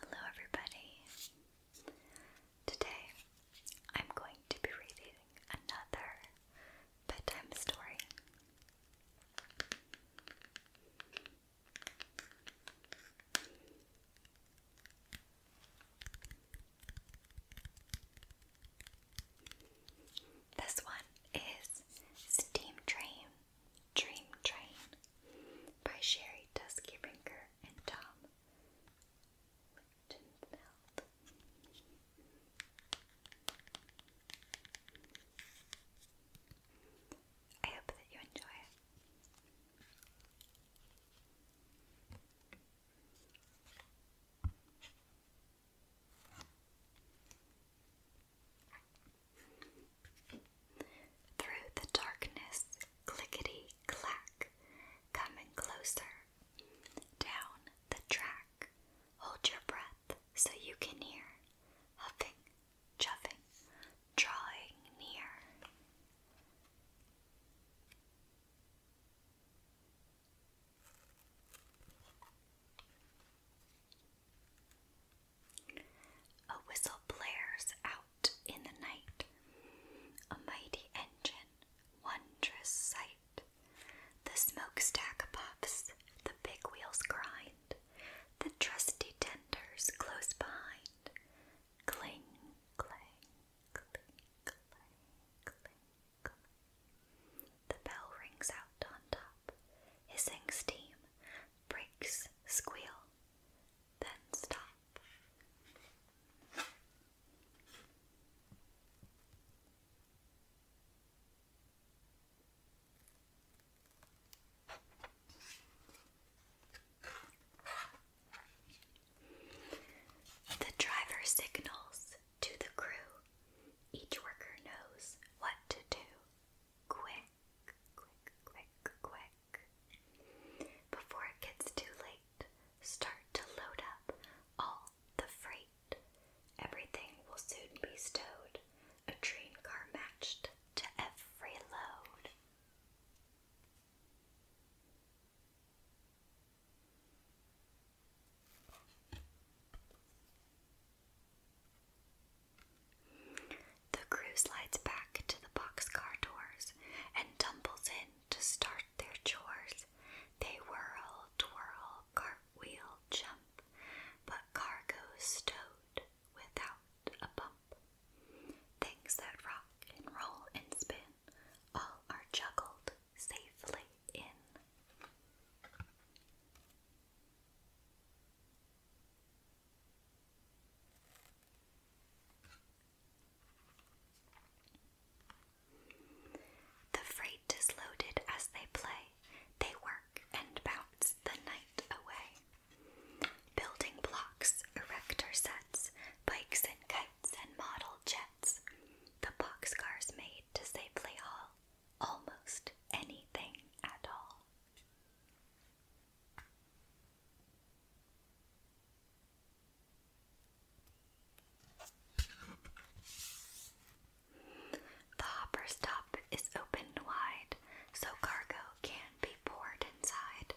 Hello, everybody. Today I'm going to be reading another bedtime story. This one is Steam Train, Dream Train by Sherry Duskyrinker and Tom cotton I hope that you enjoy it. Through the darkness, clickety clack, coming closer. Down the track, Hold your breath so you can hear huffing, chuffing, drawing near. A whistle blares out in the night, a mighty engine, wondrous sight. The smokestack puffs, the big wheels grind, the trusty tenders close behind. Cling, clang, cling, clang, cling, clang. The bell rings out on top, hissing steam, breaks, squeal, then stop. The driver signals to the crew. Each worker knows what to do. Quick, quick, quick, quick. Before it gets too late, start to load up all the freight. Everything will soon be stowed, a train car matched to every load. The crew slides back to the boxcar doors and tumbles in to start their chores. They whirl, twirl, cartwheel, jump, but cargo stowed without a bump. Things that rock and roll and spin, all are juggled safely in. The freight is loaded as they play, they work and bounce the night away. Building blocks, erector sets, bikes and kites and model jets. The boxcars made to safely haul almost anything at all. The hopper's top is opened wide so cargo can be poured inside.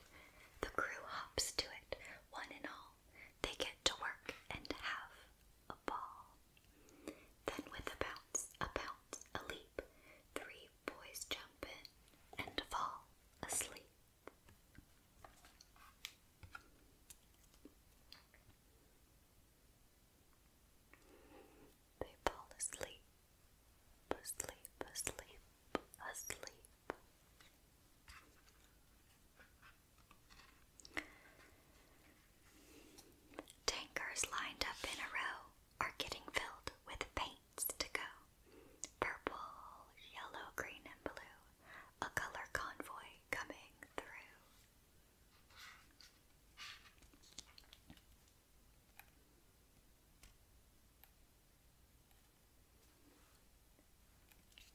The crew hops to it, one and all. They get to work and have a ball. Then, with a bounce, a bounce, a leap, three boys jump in and fall asleep. They fall asleep, asleep, asleep, asleep. Tankers lined up in a row are getting filled with paints to go. Purple, yellow, green, and blue, a color convoy coming through.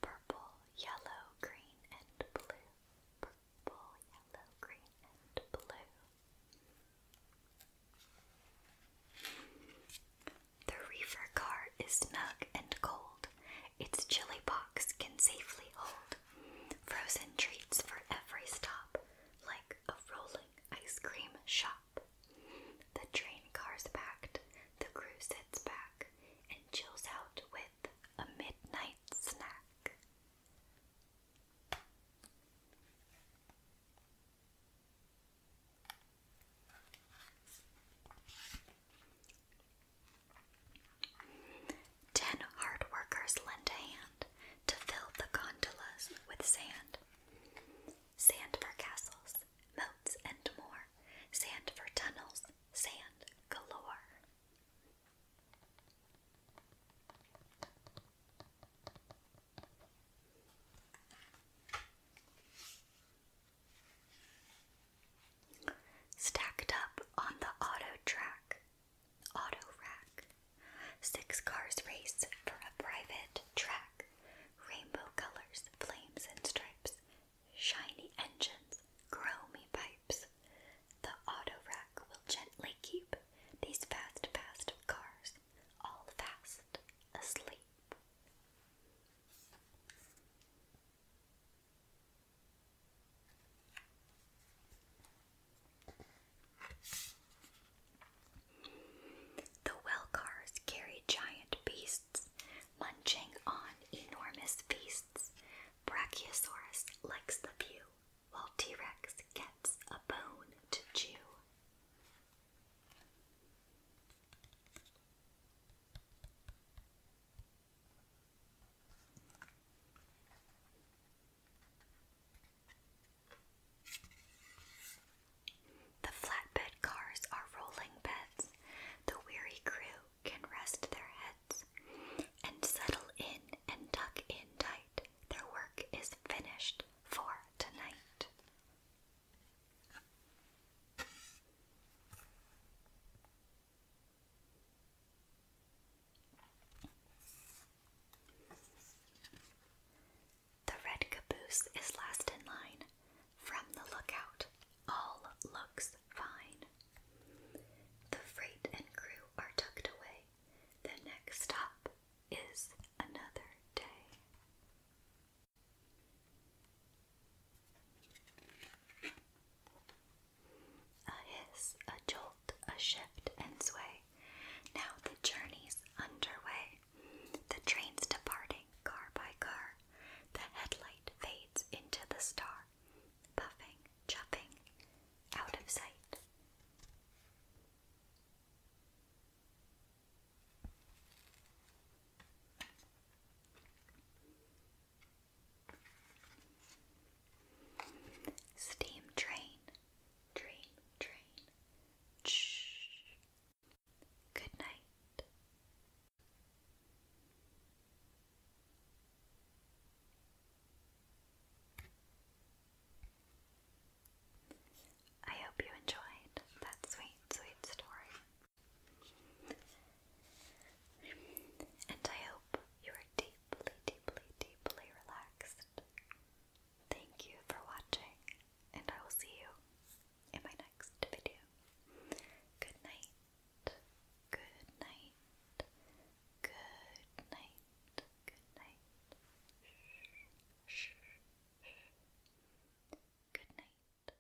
Purple, yellow, green, and blue. Purple, yellow, green, and blue. The reefer car is snug and cold its chili box can safely hold frozen treats for every stop, like a rolling ice cream shop. The train car's packed. the crew sits back and chills out with a midnight snack. Ten hard workers lend a hand to fill the gondolas with sand. Sand for castles, moats, and more. Sand for tunnels, sand galore. Stacked up on the auto track, auto rack, six cars race for a private track. Rainbow colors, flames and stripes, shiny engines, chromy pipes. The auto rack will gently keep these fast, fast cars all fast asleep. The well cars carry giant beasts, munching on enormous feasts. Brachiosaurus likes the view, while T Rex gets a bone to chew. The flatbed cars are rolling beds. The weary crew can rest their heads and settle in and tuck in tight. Their work is finished for tonight. The red caboose is last in line. From the lookout, all looks fine. The freight and crew are tucked away. The next stop is another day. A hiss, a jolt, a shift and sway. Now the journey's underway. The train's departing, car by car. The headlight fades into the star. Puffing, chuffing, out of sight. Steam train, train, train. Shh. Good night. I hope you enjoyed that sweet, sweet story. And I hope you are deeply, deeply, deeply relaxed. Thank you for watching, and I will see you in my next video. Good night. Good night. Good night. Good night. Good night.